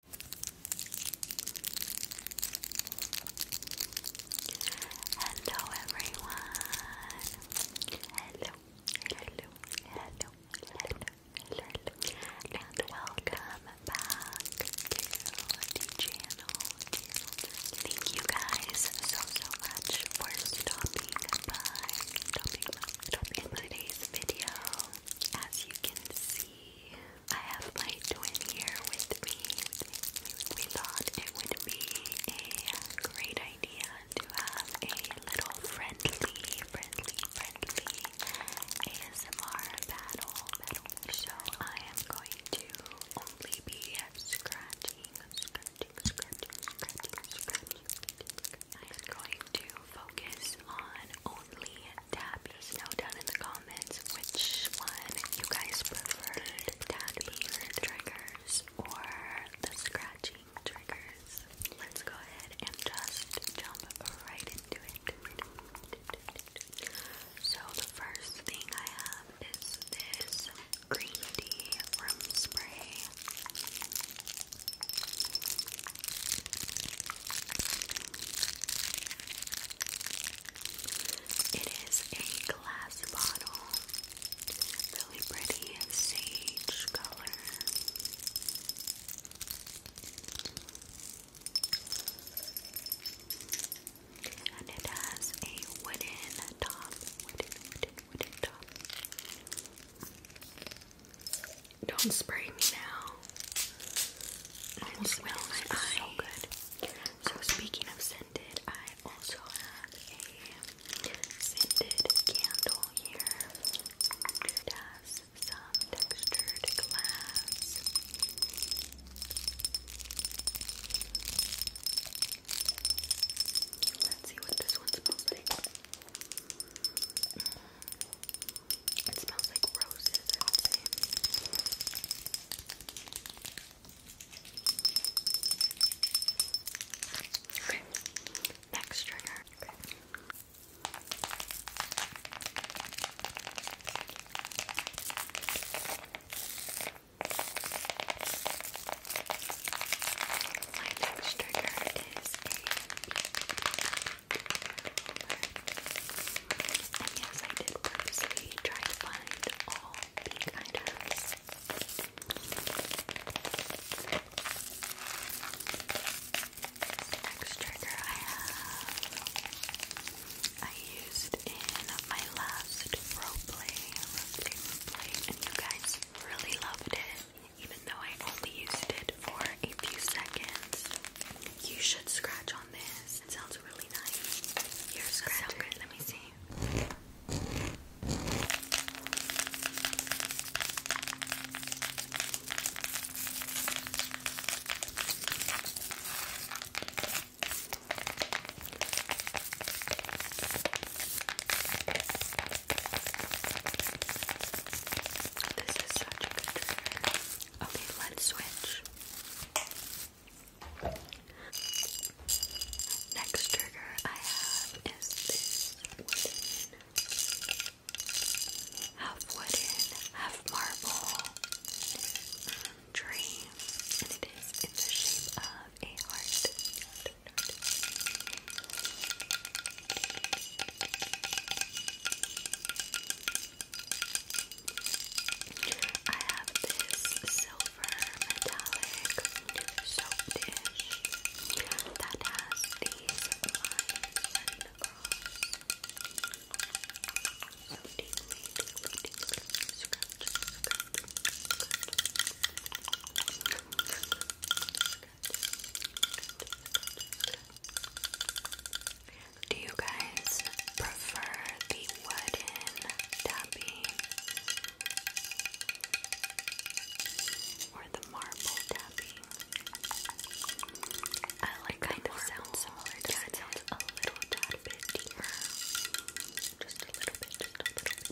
Hello everyone. Hello. Hello. Hello. Hello. Hello. And welcome back to the channel. Thank you guys so so much for stopping by. Stopping by. today's video, as you can see, I have my twin here with me, We Thought it would be a great idea to have a little friendly, friendly, friendly ASMR battle. So I am going to only be scratching, scratching, scratching, scratching, scratching. I'm going to focus on only tabbies. Know down in the comments which one you guys prefer, tapping or the scratching triggers. Let's go ahead and just jump right into it. So the first thing I have is this green tea room spray. It is a glass bottle, really pretty sage color. And it has a wooden top, wooden, wooden, wooden top. Don't spray me now. I almost So good. So speaking of scented, I also have a scented candle here. It has some textured glass. Let's see what this one smells like. It smells like roses, Okay, next trigger. Okay. My next trigger is a and yes, I did purposely try to find all pink items. next trigger I have, I used in my last roleplay, roleplay, roleplay, and you guys really loved it even though I only used it for a few seconds. You should scratch on this. It sounds really nice. You're scratching. So Let me see. This is such good Okay, let's switch. Next trigger I have is half wooden, half marble um, and it is in the shape of a heart. I have this silver metallic soap dish that has these lines do you guys prefer the wooden tapping or the marble tapping? I like kind of sound Yeah, it sounds a little tad bit deeper. Just a little bit, just a little bit.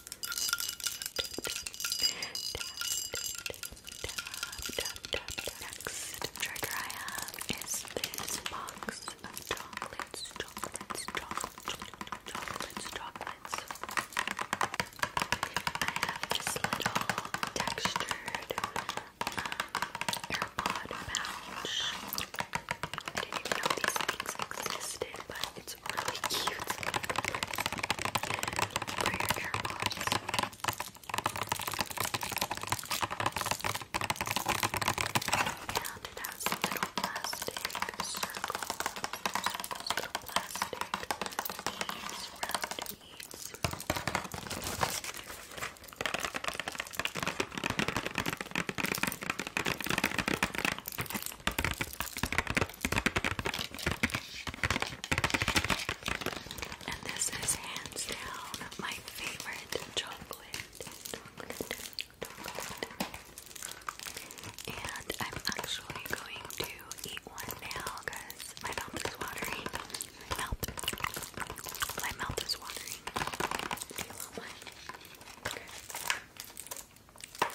Next trigger I have this box of chocolates, chocolates, chocolates, chocolates, chocolates. I have this little textured um, pouch. I didn't even know these things existed, but it's really cute for your AirPods. And it has a little plastic circle, little plastic beads, round beads. And this is hands down my favorite chocolate. And I'm actually going to eat one now because my mouth is watering. My mouth, is watering. My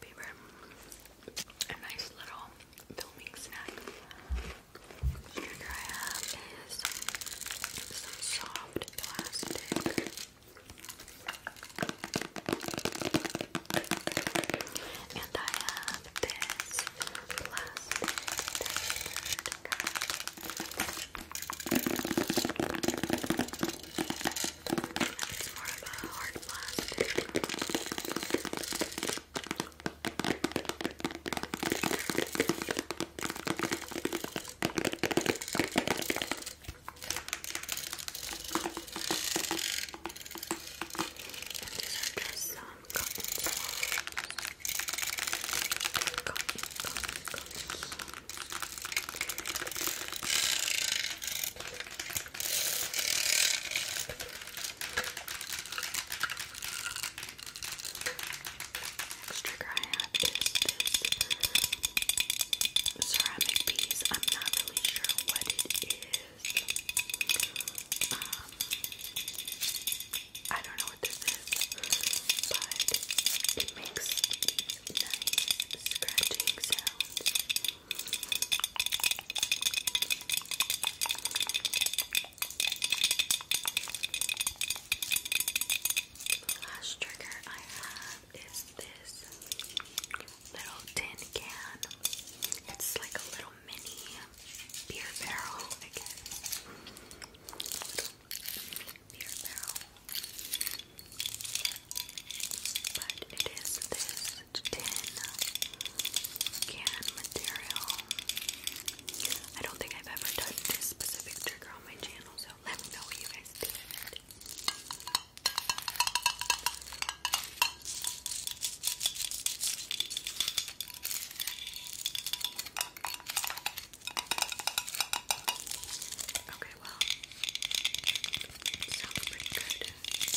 favorite a nice little filming snack. Sugar I have is soft plastic. And I have this plastic it's more of a hard plastic. And these are just some cotton swabs. Cotton, cotton, cotton swabs. Next trigger this ceramic piece. I'm not really sure what it is. Um, I don't know what this is, but it makes these scratching sounds. The last trigger I have is this little tin can. It's like a little mini beer barrel, I Beer barrel but it is this tin can material. I don't think I've ever done this specific trigger on my channel, so let me know what you guys did. Okay, very well. Sounds pretty good. It's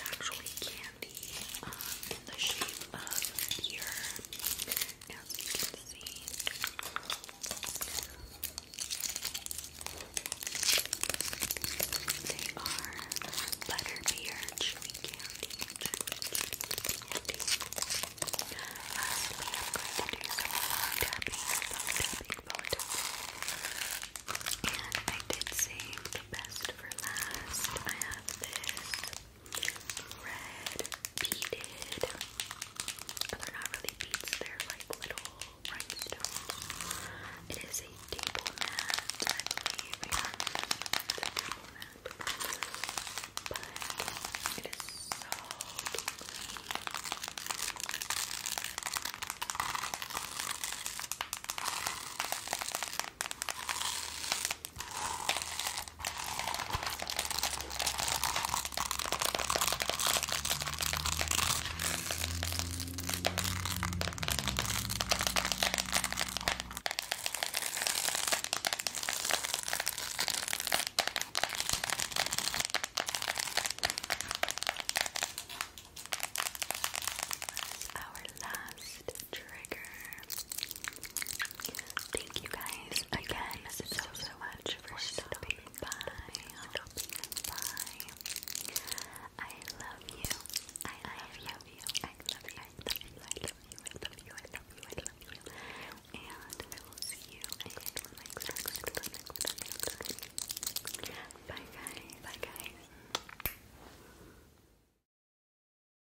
actually candy um, in the shape of your as you can see. They are butterbeer chewy candy. Chewy candy. And I did save best for last. I have this red beaded. But they're not really beads, they're like little rhinestones. It is a table mat, I believe. Yeah, it's But it is so tingly. Our last trigger. Thank you guys again so, so, much for stopping by. Stopping by. I love you. I love you. I love you. I love you. I love you. I love you. I love you. I love you. And I will see you again next time. Bye guys. Bye guys.